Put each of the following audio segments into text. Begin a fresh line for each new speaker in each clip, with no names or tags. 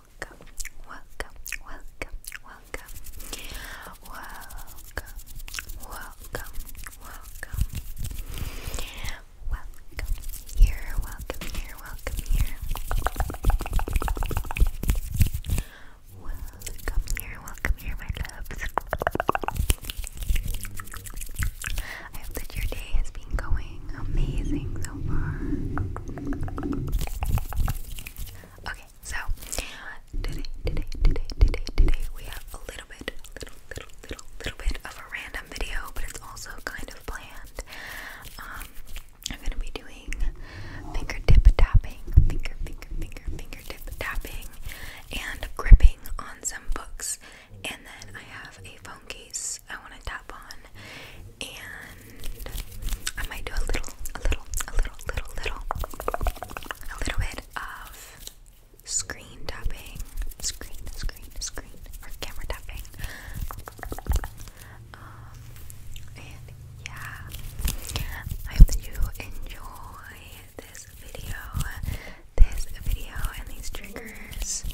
welcome, welcome, welcome, welcome, welcome, welcome, welcome, welcome here, welcome here, welcome here, welcome here, welcome here, my loves. I hope that your day has been going amazing so far. Okay, so today, today, today, today, today, we have a little bit, little, little, little, little bit of a random video, but it's also kind of planned. Um, I'm gonna be doing fingertip tapping, finger, finger, finger, fingertip tapping, and gripping on some books. And then I have a phone case I want to tap on, and I might do a little, a little, a little, little, little, a little bit of screen tapping, screen, screen, screen, or camera tapping. Um, and yeah, I hope that you enjoy this video, this video, and these triggers.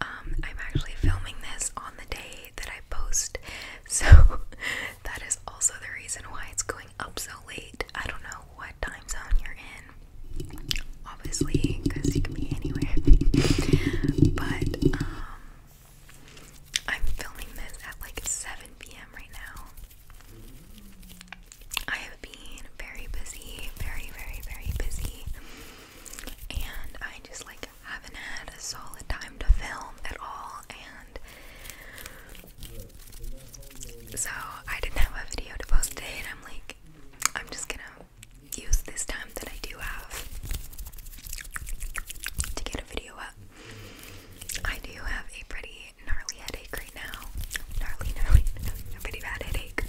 Um, I'm actually filming this on the day that I post. So that is also the reason why it's going up so late. I don't know what time zone you're in. Obviously, because you can be anywhere. but um, I'm filming this at like 7 p.m. right now. I have been very busy, very, very, very busy and I just like haven't had a solid time to film at all and so I didn't have a video to post today and I'm like I'm just gonna use this time that I do have to get a video up. I do have a pretty gnarly headache right now. Gnarly, gnarly, pretty bad headache.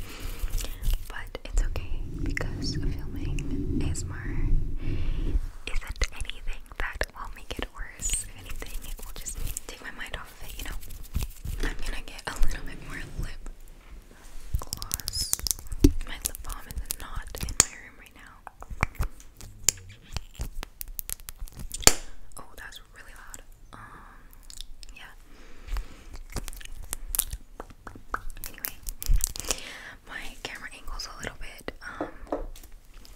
But it's okay because filming ASMR isn't anything that will make it worse. If anything, it will just take my mind off of it, you know? I'm gonna get a little bit more lip gloss. My lip balm is not in my room right now. Oh, that's really loud. Um, yeah. Anyway, my camera angle's a little bit um,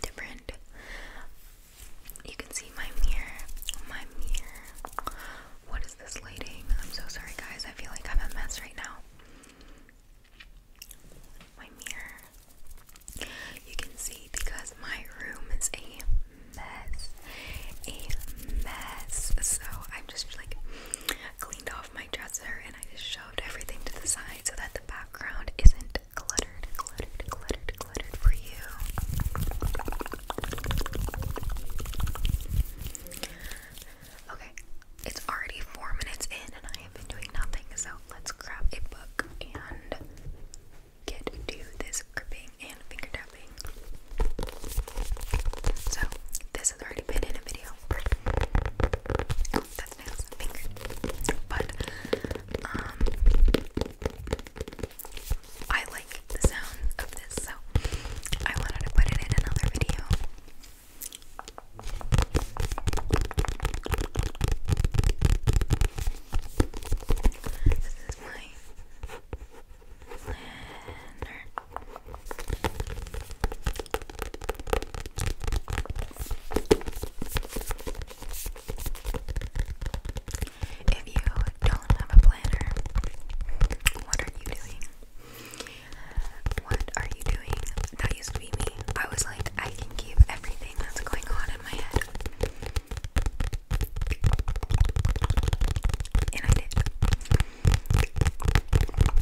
different. You can see my mirror, my mirror. What is this lighting? I'm so sorry, guys. I feel like I'm a mess right now. My mirror. You can see because my room is a mess. A mess. So I'm just like cleaned off my dresser and I just shoved everything to the side so that the background isn't cluttered, cluttered, cluttered, cluttered for you. Okay, it's already four minutes in and I have been doing nothing, so let's grab a book and get to this gripping and finger tapping. So, this this has already been in a video. Oh, that's nails, But um, I like the sound of this, so I wanted to put it in another video. This is my planner. If you don't have a planner, what are you doing? What are you doing? That used to be me. I was like, I can keep everything that's going on in my head. And I did.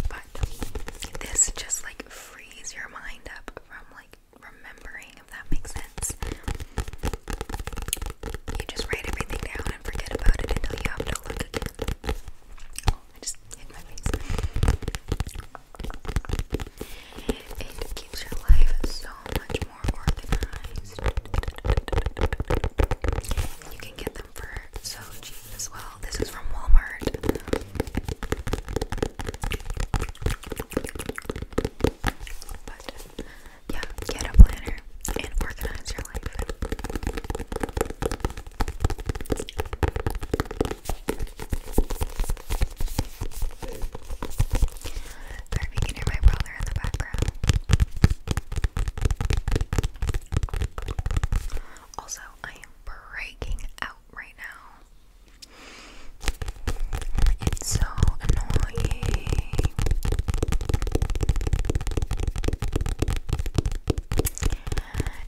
But this just like frees your mind up from like remembering, if that makes sense. You just write everything down and forget about it until you have to look again. Oh, I just hit my face. It keeps your life so much more organized. You can get the so cheap as well. This is from Walmart. yeah, get a planner and organize your life. Or if can hear my brother in the background. Also, I am breaking out right now. It's so annoying.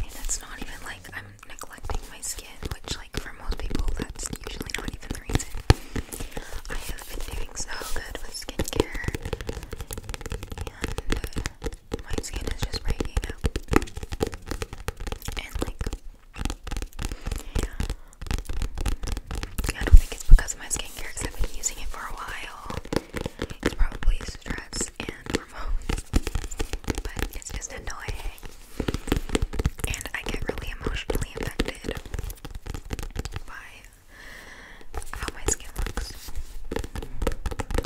And that's not even like I'm neglecting my skin, which, like, for most people, that's usually not even the reason. I have been doing so good with skincare, my skin is just breaking out. And like I don't think it's because of my skincare because I've been using it for a while. It's probably stress and hormones. But it's just annoying. And I get really emotionally affected by how my skin looks.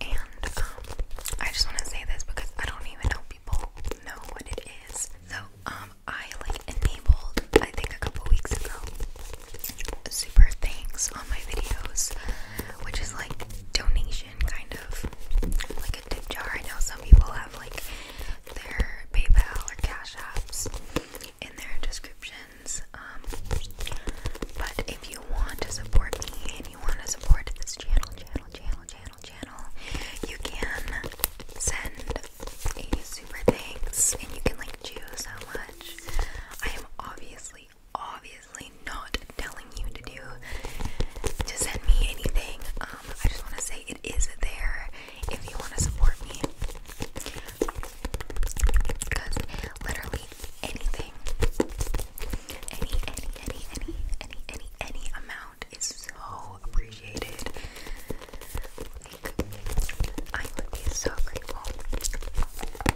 and um, I just want to say this because I don't even know people know what it is. So um I like enabled I think a couple weeks ago super thanks on my videos which is like donation kind of like a tip jar. I know some people have like their PayPal or Cash Apps in their descriptions. Um but if you want to support me and you want to support this channel, channel, channel, channel, channel, you can send a super thanks and you can like choose how much. I am obviously, obviously not telling you to do to send me anything. Um, I just want to say it is there if you want to support me. Because literally anything any, any, any, any, any, any, any amount is so appreciated. I would be so grateful.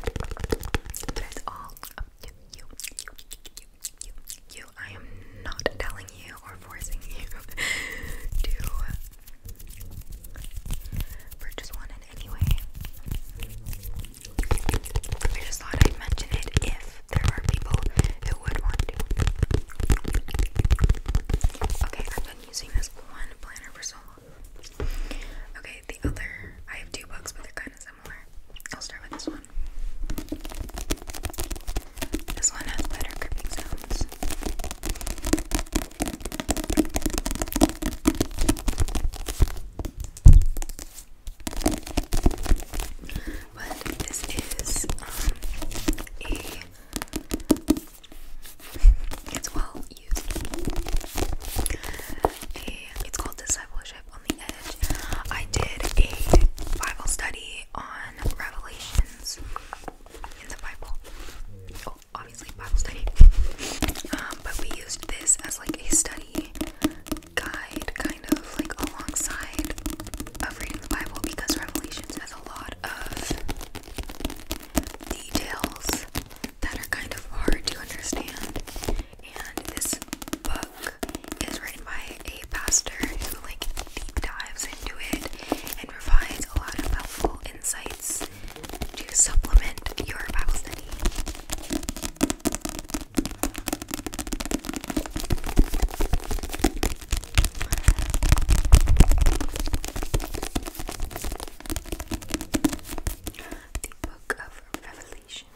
But it's all up you, you, you, you, you. I am not telling you or forcing you to purchase one in any way. I just thought I'd mention it if there are people who would want to. Okay, I've been using this one planner for so long. Okay, the other, I have two books, but they're kind of similar. I'll start with this one. This one has better gripping sounds. But this is um, a it's well used. A, it's called discipleship on the edge. I did a Bible study on Revelations in the Bible. Oh, obviously Bible study. Um, but we used this as like a study guide kind of like alongside of reading the Bible because Revelations has a lot of details that are kind of hard to understand. And this book is written by a pastor who like deep dives into it and provides a lot of helpful insights to supplement your Bible study. The Book of Revelation.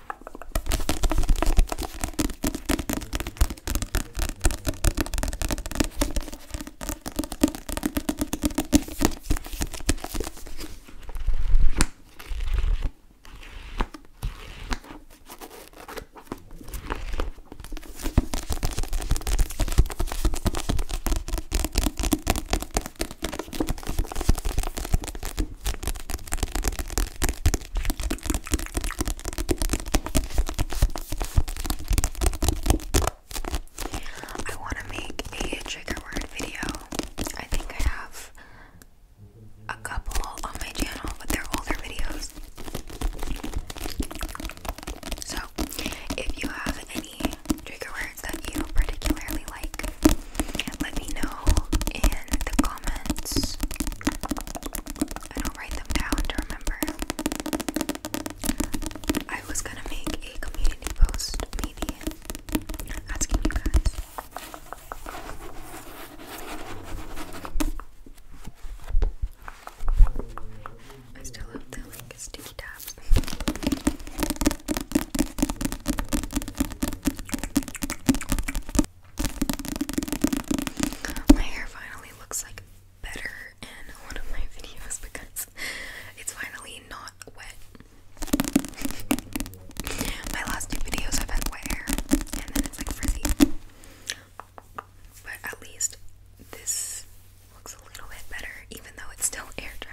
I want to make a trigger word video. I think I have a couple on my channel, but they're older videos. So, if you have any trigger words that you particularly like, let me know in the comments. I do write them down to remember. I was gonna make a community post, maybe, asking you guys I still have the like sticky tabs. My hair finally looks like better in one of my videos because it's finally not wet. My last two videos have had wet hair, and then it's like frizzy. But at least this looks a little bit better, even though it's still air dried.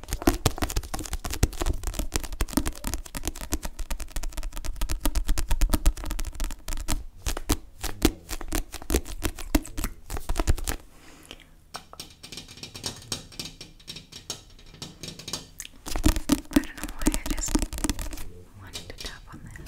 I don't know why I just wanted to tap on this.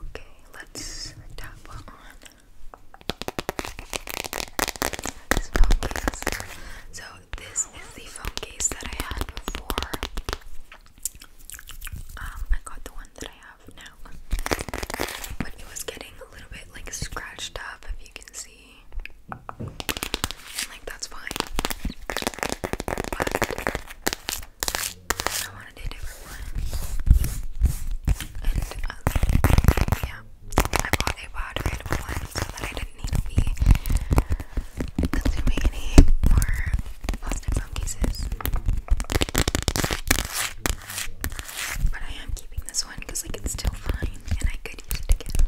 Okay, let's tap on so this is the phone case that I had before. Um, I got the one that I have now. But it was getting a little bit like scratched up if you can see. like that's fine. But I wanted a different one. And uh, yeah. I bought a watered one so that I didn't need to be consuming any more plastic phone cases. But I am keeping this one because like it's still fine and I could use it again.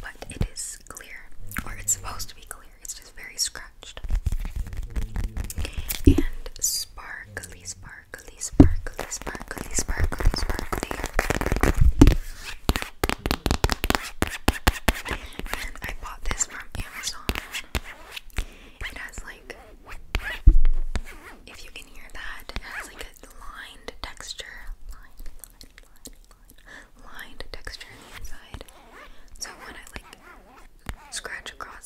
But it is clear, or it's supposed to be clear. It's just very scratched and sparkly sparkly sparkly, sparkly, sparkly, sparkly, sparkly. And I bought this from Amazon. It has like, if you can hear that, it has like a lined texture. Lined, texture inside. So when I like scratch across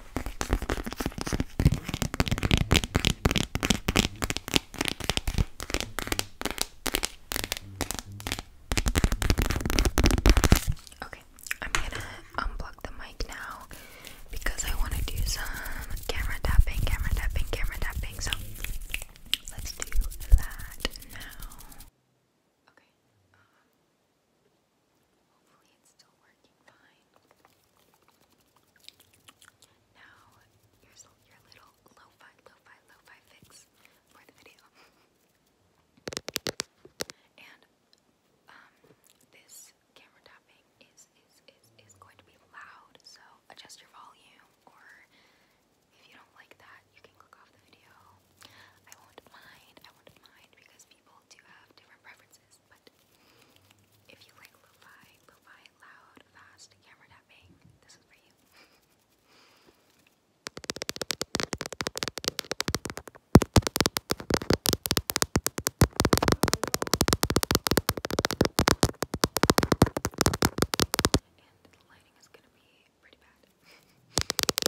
Okay, I'm gonna unplug the mic now because I want to do some camera tapping, camera tapping, camera tapping. So let's do that now. Okay. Uh, Hopefully it's still working fine. Now, your little lo-fi, lo fix for the video. and, um, this camera tapping is, is, is, is going to be loud, so adjust your volume, or if you don't like that, you can click off the video. I won't mind, I won't mind, because people do have different preferences, but if you like lo-fi, lo-fi, loud, fast, camera tapping, this is for you. and the lighting is gonna be pretty bad.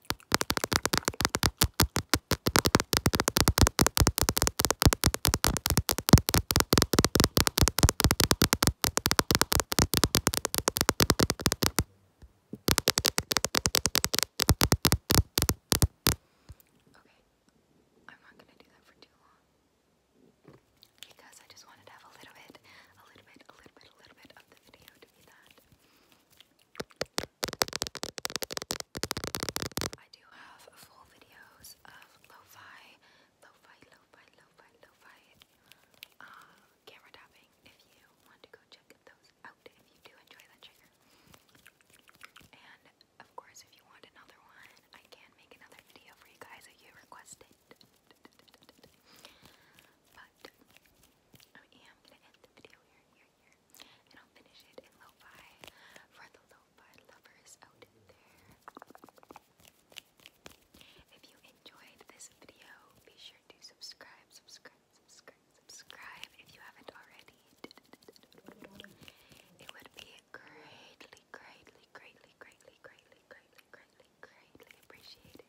I'm not going to do that for too long because I just wanted to have a little bit, a little bit, a little bit, a little bit of the video to be that. I do have full videos of lo-fi, lo-fi, lo uh, camera tapping if you want to go check those out if you do enjoy that trigger. And of course if you want another one, I can make another video for you guys if you request it. But um, I'm gonna end the video here, and I'll finish it in lo for the lo lovers out there. If you enjoyed this video, be sure to subscribe, subscribe, subscribe, subscribe if you haven't already. It would be greatly, greatly, greatly, greatly, greatly, greatly, greatly, greatly appreciated.